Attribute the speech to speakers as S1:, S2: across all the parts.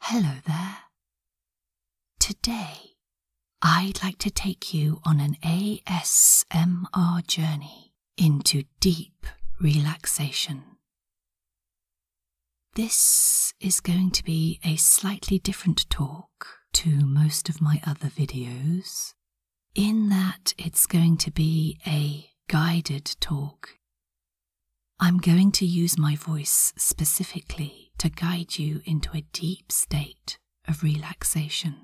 S1: Hello there. Today, I'd like to take you on an ASMR journey into deep relaxation. This is going to be a slightly different talk to most of my other videos, in that it's going to be a guided talk I'm going to use my voice specifically to guide you into a deep state of relaxation.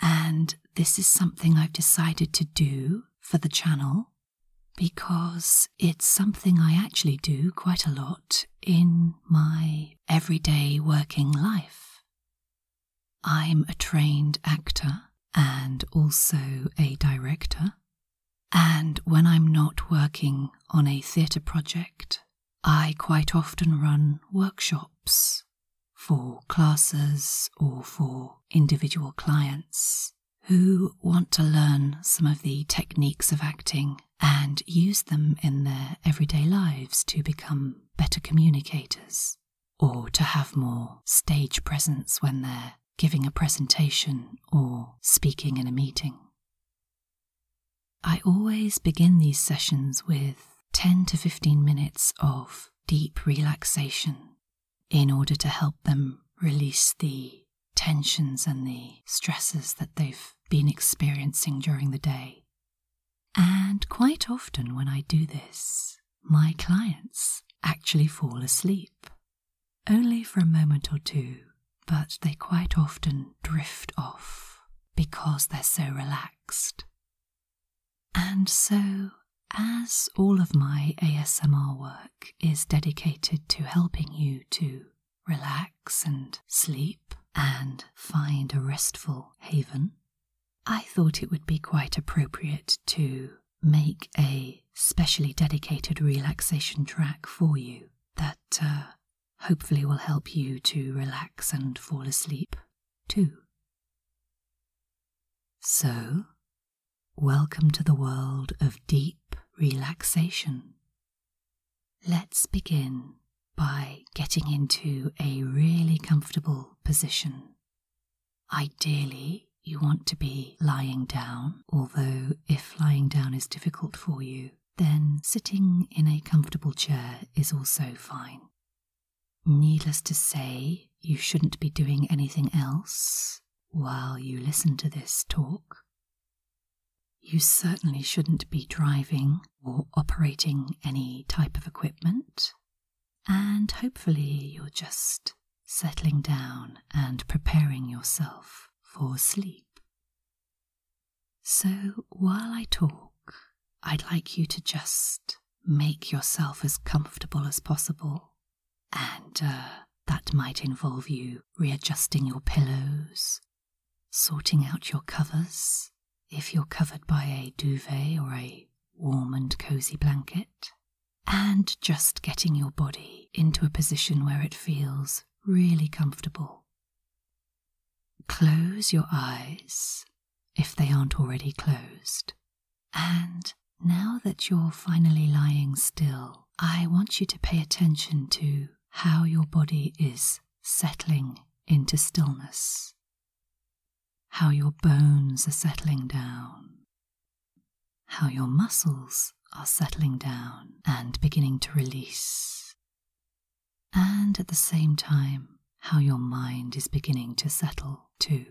S1: And this is something I've decided to do for the channel because it's something I actually do quite a lot in my everyday working life. I'm a trained actor and also a director, and when I'm not working on a theatre project, I quite often run workshops for classes or for individual clients who want to learn some of the techniques of acting and use them in their everyday lives to become better communicators or to have more stage presence when they're giving a presentation or speaking in a meeting. I always begin these sessions with 10 to 15 minutes of deep relaxation in order to help them release the tensions and the stresses that they've been experiencing during the day. And quite often, when I do this, my clients actually fall asleep. Only for a moment or two, but they quite often drift off because they're so relaxed. And so, as all of my ASMR work is dedicated to helping you to relax and sleep and find a restful haven, I thought it would be quite appropriate to make a specially dedicated relaxation track for you that uh, hopefully will help you to relax and fall asleep too. So, welcome to the world of deep relaxation. Let's begin by getting into a really comfortable position Ideally, you want to be lying down, although, if lying down is difficult for you, then sitting in a comfortable chair is also fine. Needless to say, you shouldn't be doing anything else while you listen to this talk. You certainly shouldn't be driving or operating any type of equipment, and hopefully, you're just settling down and preparing yourself for sleep. So while I talk, I'd like you to just make yourself as comfortable as possible, and uh, that might involve you readjusting your pillows, sorting out your covers if you're covered by a duvet or a warm and cozy blanket, and just getting your body into a position where it feels really comfortable. Close your eyes if they aren't already closed. And now that you're finally lying still, I want you to pay attention to how your body is settling into stillness, how your bones are settling down, how your muscles are settling down and beginning to release, and at the same time, how your mind is beginning to settle too.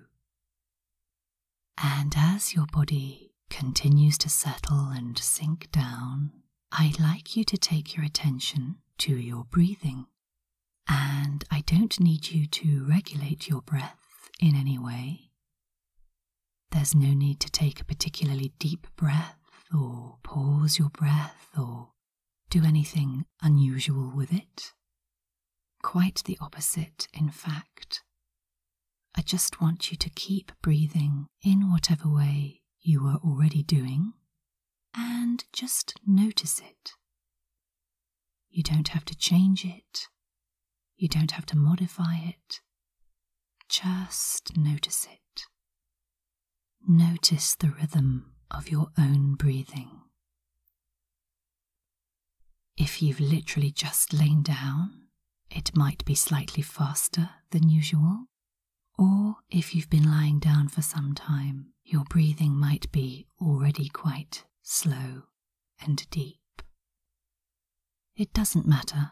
S1: And as your body continues to settle and sink down, I'd like you to take your attention to your breathing. And I don't need you to regulate your breath in any way. There's no need to take a particularly deep breath, or pause your breath, or do anything unusual with it. Quite the opposite, in fact. I just want you to keep breathing in whatever way you are already doing and just notice it. You don't have to change it. You don't have to modify it. Just notice it. Notice the rhythm of your own breathing. If you've literally just lain down, it might be slightly faster than usual. Or if you've been lying down for some time, your breathing might be already quite slow and deep. It doesn't matter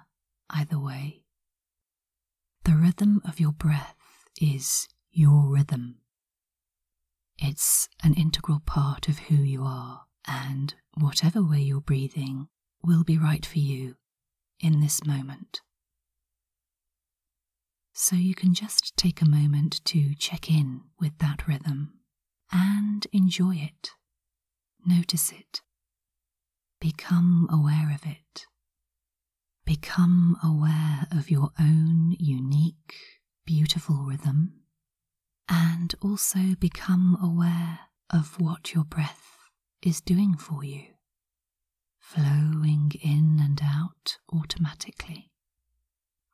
S1: either way. The rhythm of your breath is your rhythm. It's an integral part of who you are, and whatever way you're breathing will be right for you in this moment. So you can just take a moment to check in with that rhythm and enjoy it. Notice it. Become aware of it. Become aware of your own unique, beautiful rhythm. And also become aware of what your breath is doing for you, flowing in and out automatically,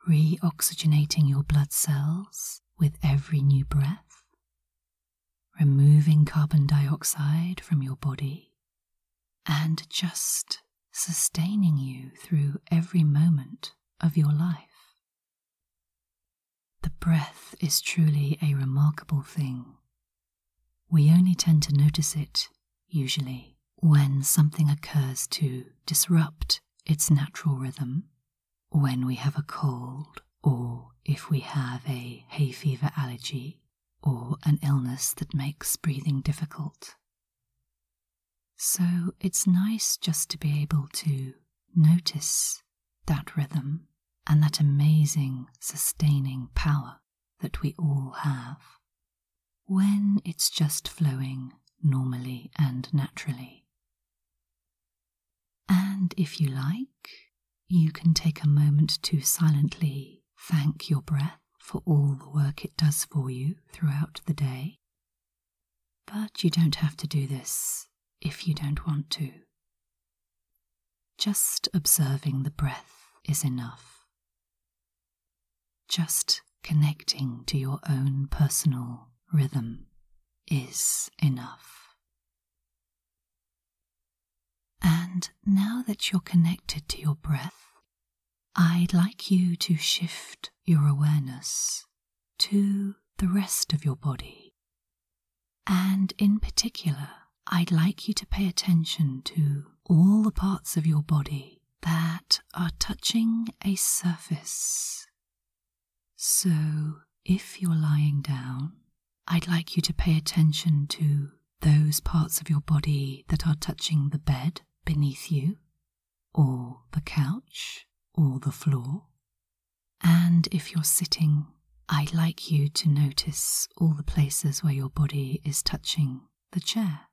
S1: reoxygenating your blood cells with every new breath, removing carbon dioxide from your body, and just sustaining you through every moment of your life. The breath is truly a remarkable thing. We only tend to notice it, usually, when something occurs to disrupt its natural rhythm when we have a cold, or if we have a hay fever allergy, or an illness that makes breathing difficult. So it's nice just to be able to notice that rhythm and that amazing sustaining power that we all have when it's just flowing normally and naturally. And if you like, you can take a moment to silently thank your breath for all the work it does for you throughout the day. But you don't have to do this if you don't want to. Just observing the breath is enough. Just connecting to your own personal rhythm is enough. And now that you're connected to your breath, I'd like you to shift your awareness to the rest of your body. And in particular, I'd like you to pay attention to all the parts of your body that are touching a surface. So, if you're lying down, I'd like you to pay attention to those parts of your body that are touching the bed beneath you, or the couch, or the floor. And if you're sitting, I'd like you to notice all the places where your body is touching the chair.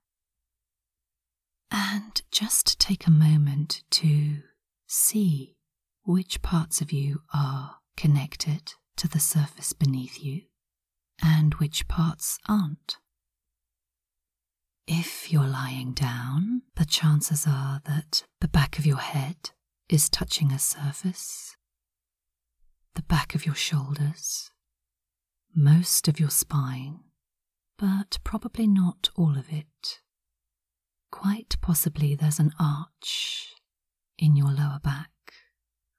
S1: And just take a moment to see which parts of you are connected to the surface beneath you and which parts aren't. If you're lying down, the chances are that the back of your head is touching a surface, the back of your shoulders, most of your spine, but probably not all of it. Quite possibly there's an arch in your lower back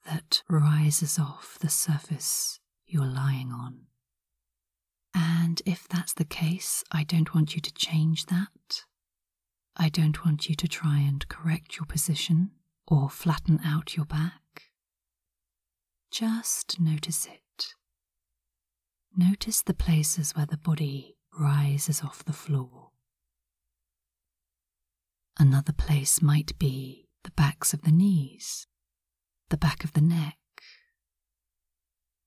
S1: that rises off the surface you're lying on. And if that's the case, I don't want you to change that. I don't want you to try and correct your position or flatten out your back. Just notice it. Notice the places where the body rises off the floor. Another place might be the backs of the knees, the back of the neck.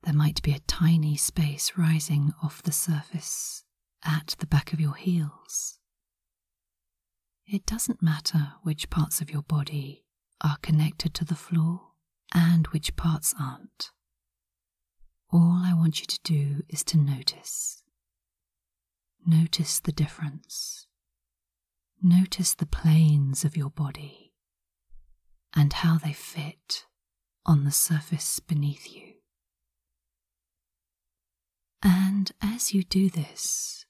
S1: There might be a tiny space rising off the surface at the back of your heels. It doesn't matter which parts of your body are connected to the floor and which parts aren't. All I want you to do is to notice. Notice the difference. Notice the planes of your body and how they fit on the surface beneath you. And as you do this,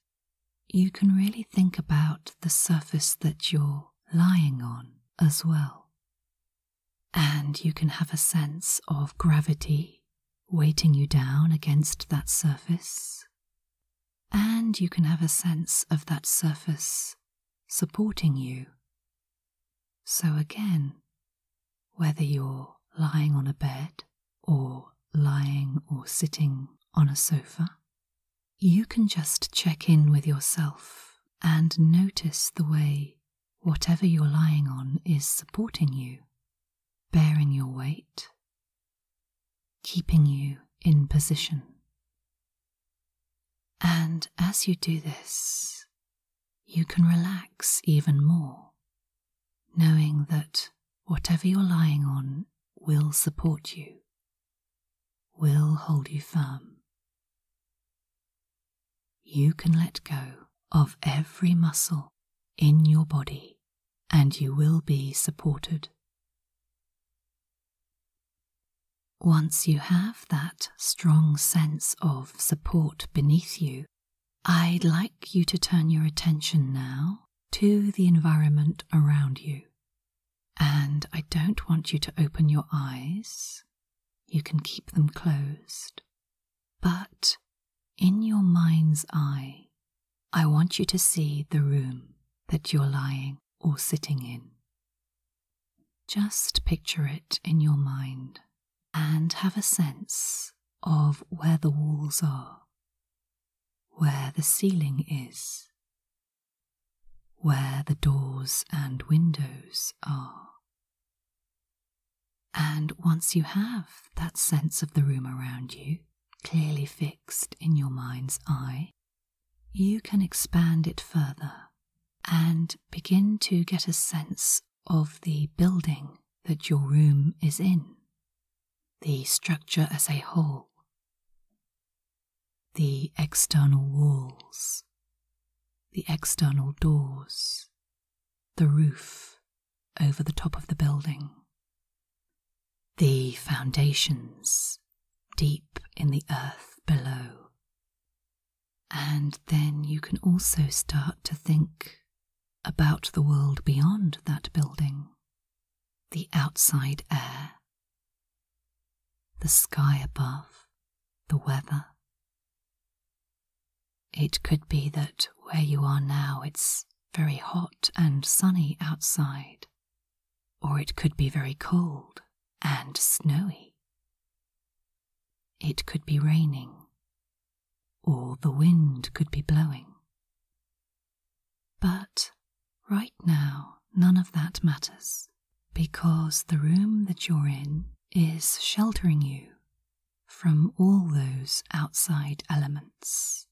S1: you can really think about the surface that you're lying on as well. And you can have a sense of gravity weighting you down against that surface. And you can have a sense of that surface supporting you. So, again, whether you're lying on a bed or lying or sitting on a sofa, you can just check in with yourself and notice the way whatever you're lying on is supporting you, bearing your weight, keeping you in position. And as you do this, you can relax even more, knowing that whatever you're lying on will support you will hold you firm. You can let go of every muscle in your body and you will be supported. Once you have that strong sense of support beneath you, I'd like you to turn your attention now to the environment around you. And I don't want you to open your eyes. You can keep them closed. But in your mind's eye, I want you to see the room that you're lying or sitting in. Just picture it in your mind and have a sense of where the walls are, where the ceiling is, where the doors and windows are. And once you have that sense of the room around you clearly fixed in your mind's eye, you can expand it further and begin to get a sense of the building that your room is in, the structure as a whole the external walls, the external doors, the roof over the top of the building, the foundations deep in the earth below. And then you can also start to think about the world beyond that building, the outside air, the sky above, the weather. It could be that where you are now it's very hot and sunny outside, or it could be very cold and snowy. It could be raining, or the wind could be blowing. But right now, none of that matters because the room that you're in is sheltering you from all those outside elements.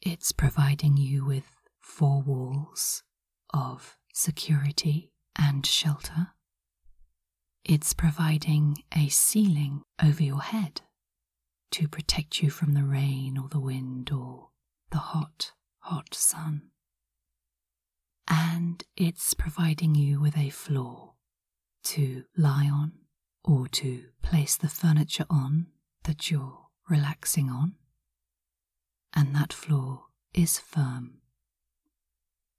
S1: It's providing you with four walls of security and shelter. It's providing a ceiling over your head to protect you from the rain or the wind or the hot hot sun. And it's providing you with a floor to lie on or to place the furniture on that you're relaxing on. And that floor is firm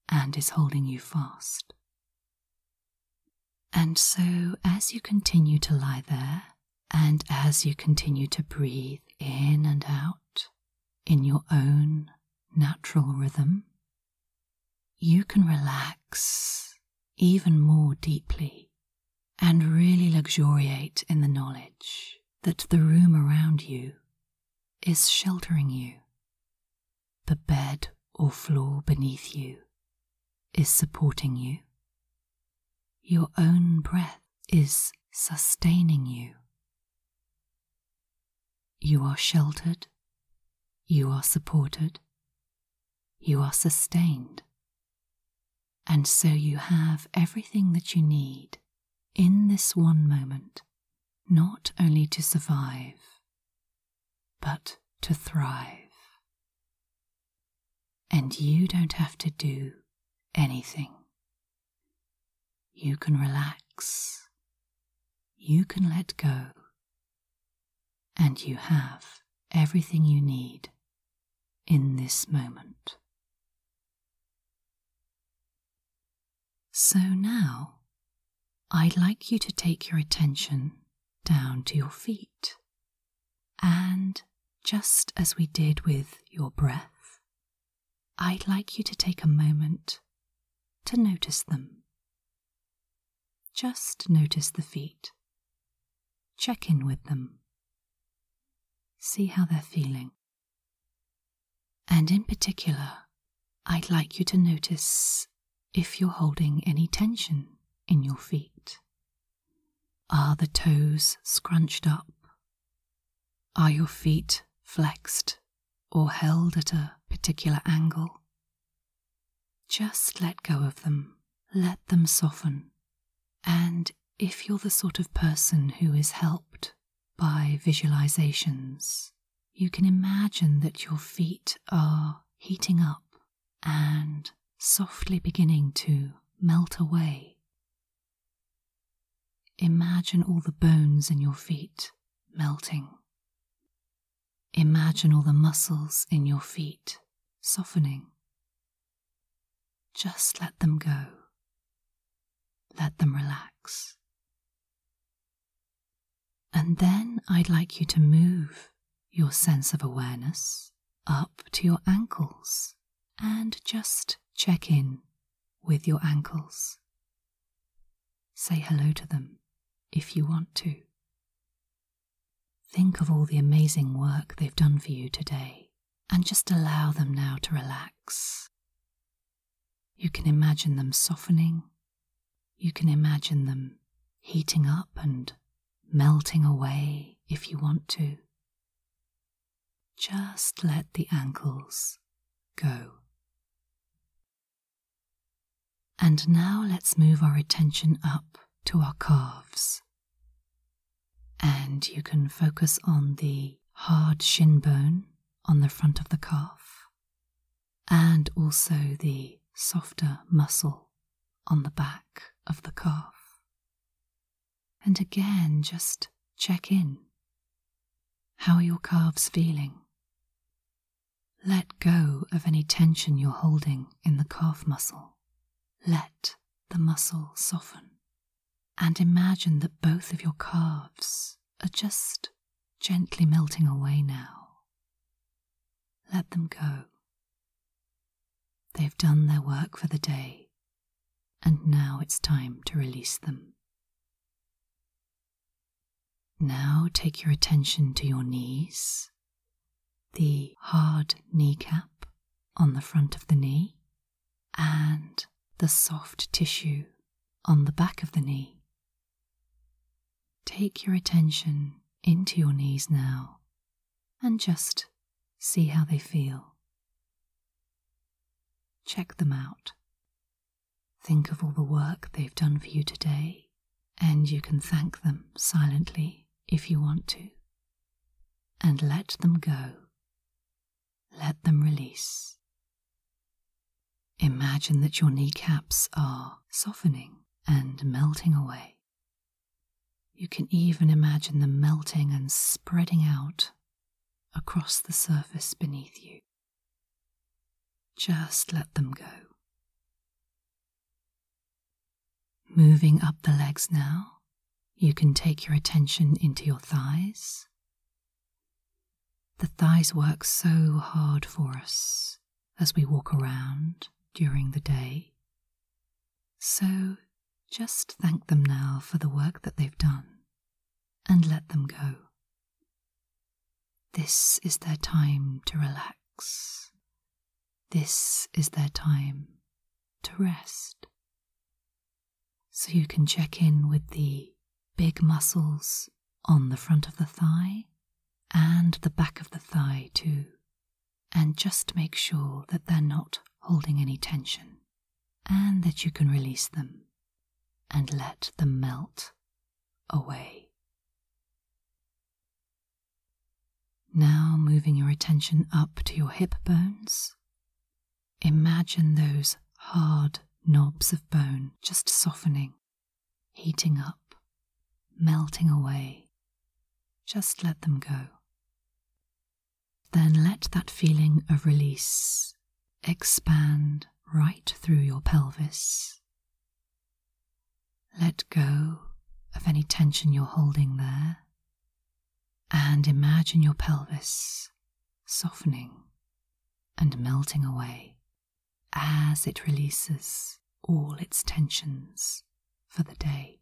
S1: and is holding you fast. And so, as you continue to lie there and as you continue to breathe in and out in your own natural rhythm, you can relax even more deeply and really luxuriate in the knowledge that the room around you is sheltering you. The bed or floor beneath you is supporting you. Your own breath is sustaining you. You are sheltered, you are supported, you are sustained, and so you have everything that you need in this one moment, not only to survive, but to thrive. And you don't have to do anything. You can relax. You can let go. And you have everything you need in this moment. So now, I'd like you to take your attention down to your feet. And just as we did with your breath, I'd like you to take a moment to notice them. Just notice the feet. Check in with them. See how they're feeling. And in particular, I'd like you to notice if you're holding any tension in your feet are the toes scrunched up? Are your feet flexed or held at a particular angle? Just let go of them, let them soften. And if you're the sort of person who is helped by visualizations, you can imagine that your feet are heating up and softly beginning to melt away. Imagine all the bones in your feet melting. Imagine all the muscles in your feet softening. Just let them go. Let them relax. And then I'd like you to move your sense of awareness up to your ankles and just check in with your ankles. Say hello to them if you want to. Think of all the amazing work they've done for you today and just allow them now to relax. You can imagine them softening. You can imagine them heating up and melting away if you want to. Just let the ankles go. And now let's move our attention up to our calves. And you can focus on the hard shin bone on the front of the calf and also the softer muscle on the back of the calf and again just check in. How are your calves feeling? Let go of any tension you're holding in the calf muscle. Let the muscle soften. And imagine that both of your calves are just gently melting away now. Let them go They've done their work for the day, and now it's time to release them. Now take your attention to your knees, the hard kneecap on the front of the knee, and the soft tissue on the back of the knee. Take your attention into your knees now and just see how they feel. Check them out. Think of all the work they've done for you today, and you can thank them silently if you want to. And let them go. Let them release. Imagine that your kneecaps are softening and melting away. You can even imagine them melting and spreading out across the surface beneath you. Just let them go. Moving up the legs now, you can take your attention into your thighs. The thighs work so hard for us as we walk around during the day. So just thank them now for the work that they've done and let them go. This is their time to relax. This is their time to rest. So you can check in with the big muscles on the front of the thigh and the back of the thigh too, and just make sure that they're not holding any tension and that you can release them and let them melt away. Now, moving your attention up to your hip bones, imagine those hard knobs of bone just softening, heating up, melting away. Just let them go. Then let that feeling of release expand right through your pelvis. Let go of any tension you're holding there and imagine your pelvis softening and melting away as it releases all its tensions for the day.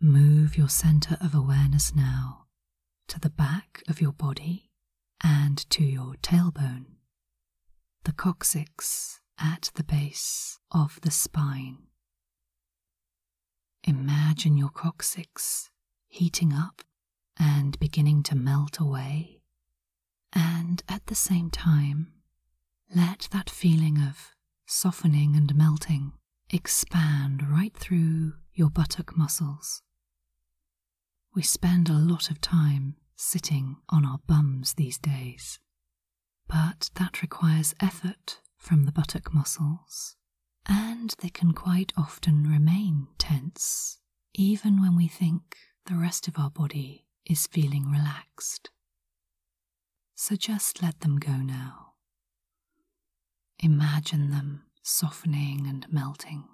S1: Move your center of awareness now to the back of your body and to your tailbone, the coccyx at the base of the spine. Imagine your coccyx heating up and beginning to melt away, and at the same time, let that feeling of softening and melting expand right through your buttock muscles. We spend a lot of time sitting on our bums these days, but that requires effort from the buttock muscles, and they can quite often remain tense even when we think the rest of our body is feeling relaxed. So just let them go now. Imagine them softening and melting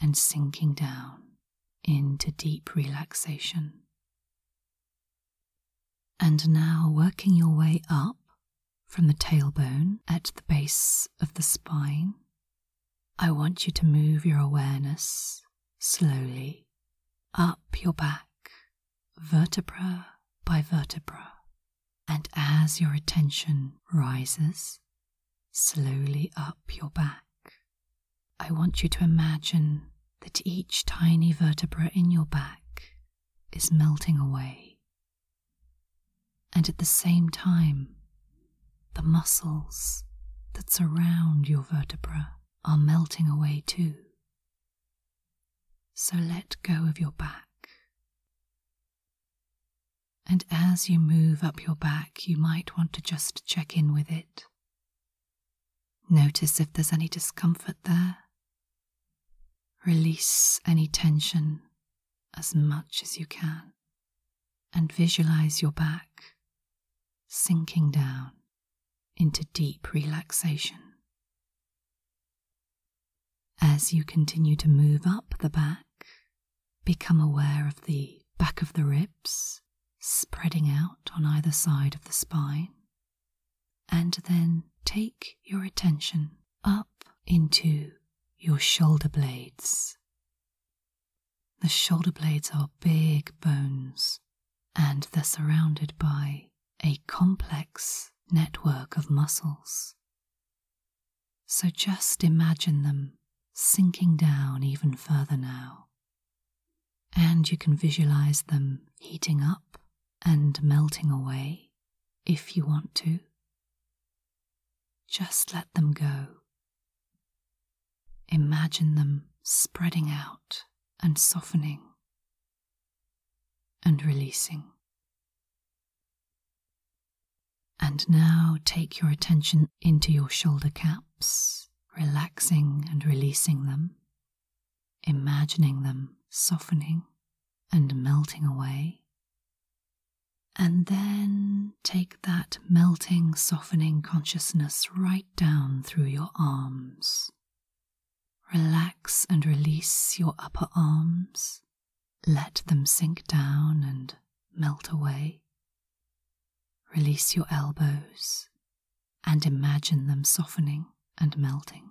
S1: and sinking down into deep relaxation. And now working your way up from the tailbone at the base of the spine, I want you to move your awareness slowly up your back, vertebra by vertebra. And as your attention rises slowly up your back, I want you to imagine that each tiny vertebra in your back is melting away. And at the same time, the muscles that surround your vertebra are melting away too. So let go of your back. And as you move up your back, you might want to just check in with it. Notice if there's any discomfort there. Release any tension as much as you can and visualize your back sinking down into deep relaxation. As you continue to move up the back, become aware of the back of the ribs spreading out on either side of the spine, and then take your attention up into your shoulder blades. The shoulder blades are big bones and they're surrounded by a complex network of muscles. So just imagine them sinking down even further now. And you can visualize them heating up and melting away if you want to. Just let them go. Imagine them spreading out and softening and releasing. And now take your attention into your shoulder caps, relaxing and releasing them, imagining them softening and melting away. And then take that melting, softening consciousness right down through your arms, Relax and release your upper arms. Let them sink down and melt away. Release your elbows and imagine them softening and melting.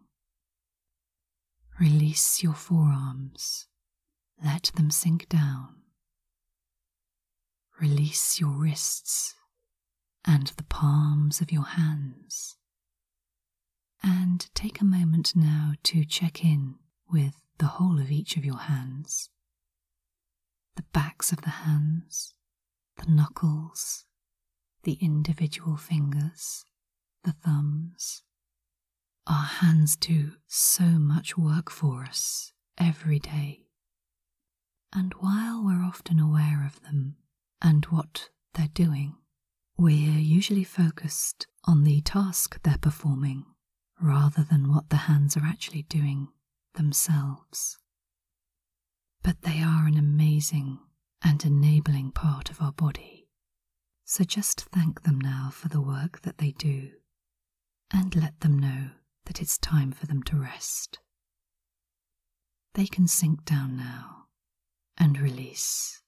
S1: Release your forearms. Let them sink down. Release your wrists and the palms of your hands. And take a moment now to check in with the whole of each of your hands the backs of the hands, the knuckles, the individual fingers, the thumbs. Our hands do so much work for us every day. And while we're often aware of them and what they're doing, we're usually focused on the task they're performing rather than what the hands are actually doing themselves. But they are an amazing and enabling part of our body. So just thank them now for the work that they do and let them know that it's time for them to rest. They can sink down now and release.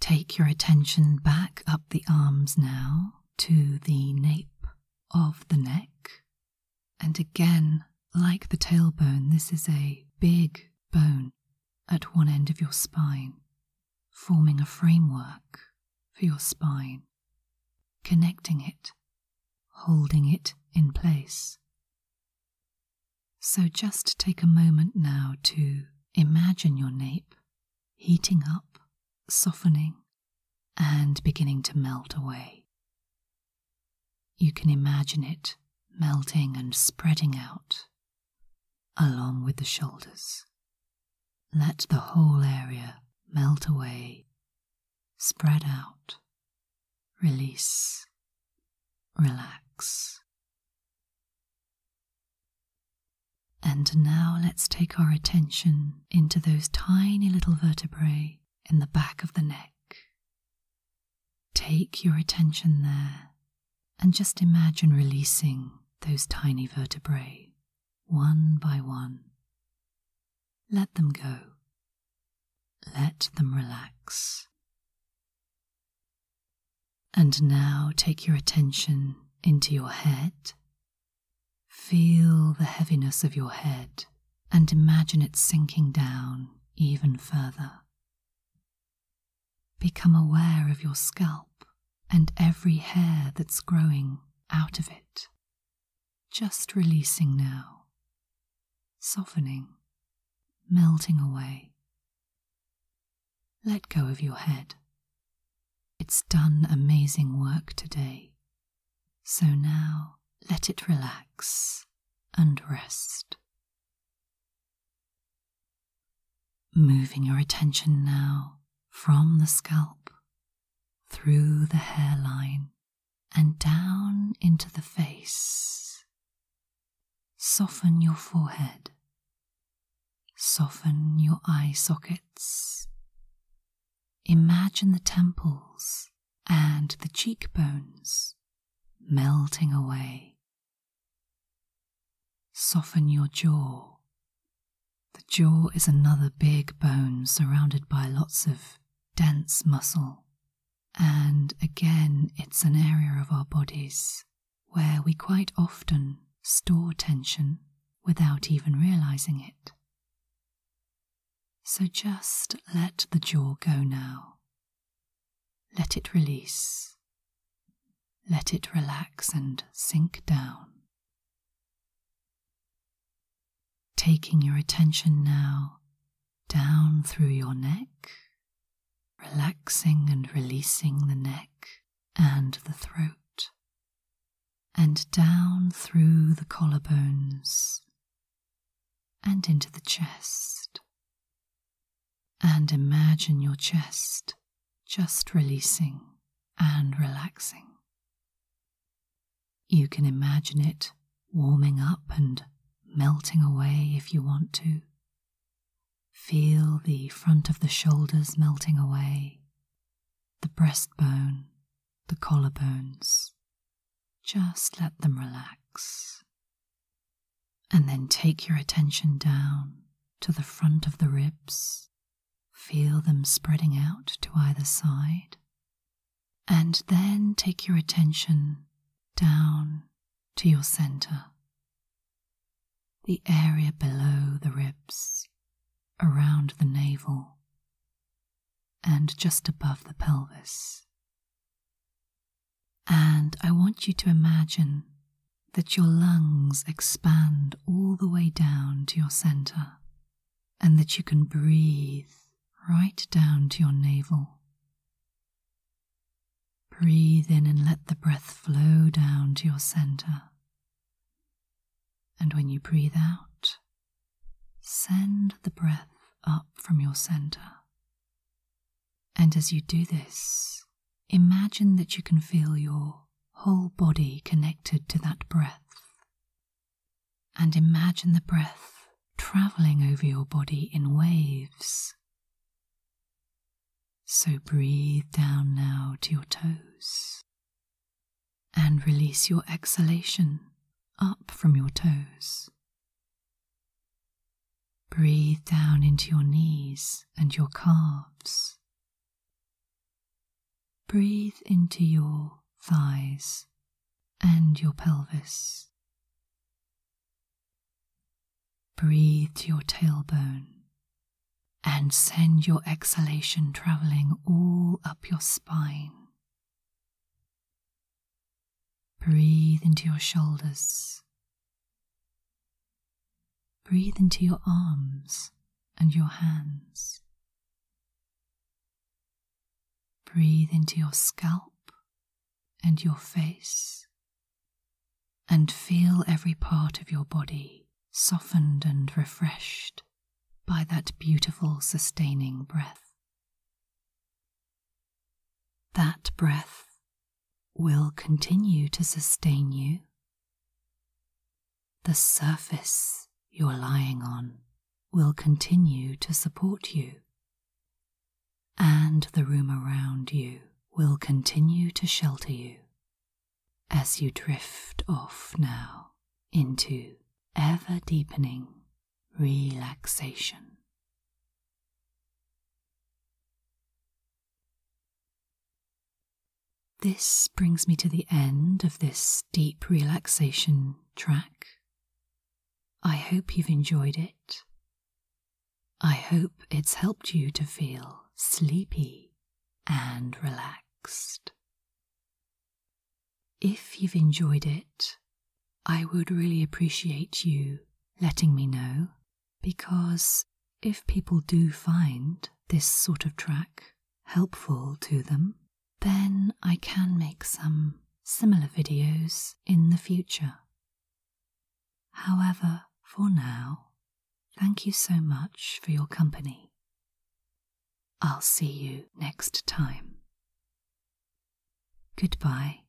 S1: Take your attention back up the arms now to the nape of the neck. And again, like the tailbone, this is a big bone at one end of your spine, forming a framework for your spine connecting it, holding it in place. So just take a moment now to imagine your nape heating up, softening, and beginning to melt away. You can imagine it melting and spreading out along with the shoulders. Let the whole area melt away Spread out, release, relax. And now let's take our attention into those tiny little vertebrae in the back of the neck. Take your attention there and just imagine releasing those tiny vertebrae one by one. Let them go. Let them relax. And now take your attention into your head. Feel the heaviness of your head and imagine it sinking down even further. Become aware of your scalp and every hair that's growing out of it just releasing now, softening, melting away. Let go of your head. It's done amazing work today, so now let it relax and rest. Moving your attention now from the scalp through the hairline and down into the face. Soften your forehead. Soften your eye sockets. Imagine the temples and the cheekbones melting away. Soften your jaw the jaw is another big bone surrounded by lots of dense muscle. And again, it's an area of our bodies where we quite often store tension without even realizing it. So just let the jaw go now. Let it release. Let it relax and sink down. Taking your attention now down through your neck, relaxing and releasing the neck and the throat, and down through the collarbones and into the chest. And imagine your chest just releasing and relaxing. You can imagine it warming up and melting away if you want to. Feel the front of the shoulders melting away, the breastbone, the collarbones. Just let them relax. And then take your attention down to the front of the ribs Feel them spreading out to either side. And then take your attention down to your center, the area below the ribs, around the navel, and just above the pelvis. And I want you to imagine that your lungs expand all the way down to your center and that you can breathe right down to your navel. Breathe in and let the breath flow down to your center. And when you breathe out, send the breath up from your center. And as you do this, imagine that you can feel your whole body connected to that breath and imagine the breath traveling over your body in waves. So breathe down now to your toes and release your exhalation up from your toes. Breathe down into your knees and your calves Breathe into your thighs and your pelvis. Breathe to your tailbone and send your exhalation traveling all up your spine. Breathe into your shoulders. Breathe into your arms and your hands Breathe into your scalp and your face, and feel every part of your body softened and refreshed by that beautiful sustaining breath. That breath will continue to sustain you the surface you're lying on will continue to support you, and the room around you will continue to shelter you as you drift off now into ever deepening relaxation. This brings me to the end of this deep relaxation track. I hope you've enjoyed it. I hope it's helped you to feel sleepy and relaxed. If you've enjoyed it, I would really appreciate you letting me know because if people do find this sort of track helpful to them, then I can make some similar videos in the future. However, for now, thank you so much for your company. I'll see you next time. Goodbye.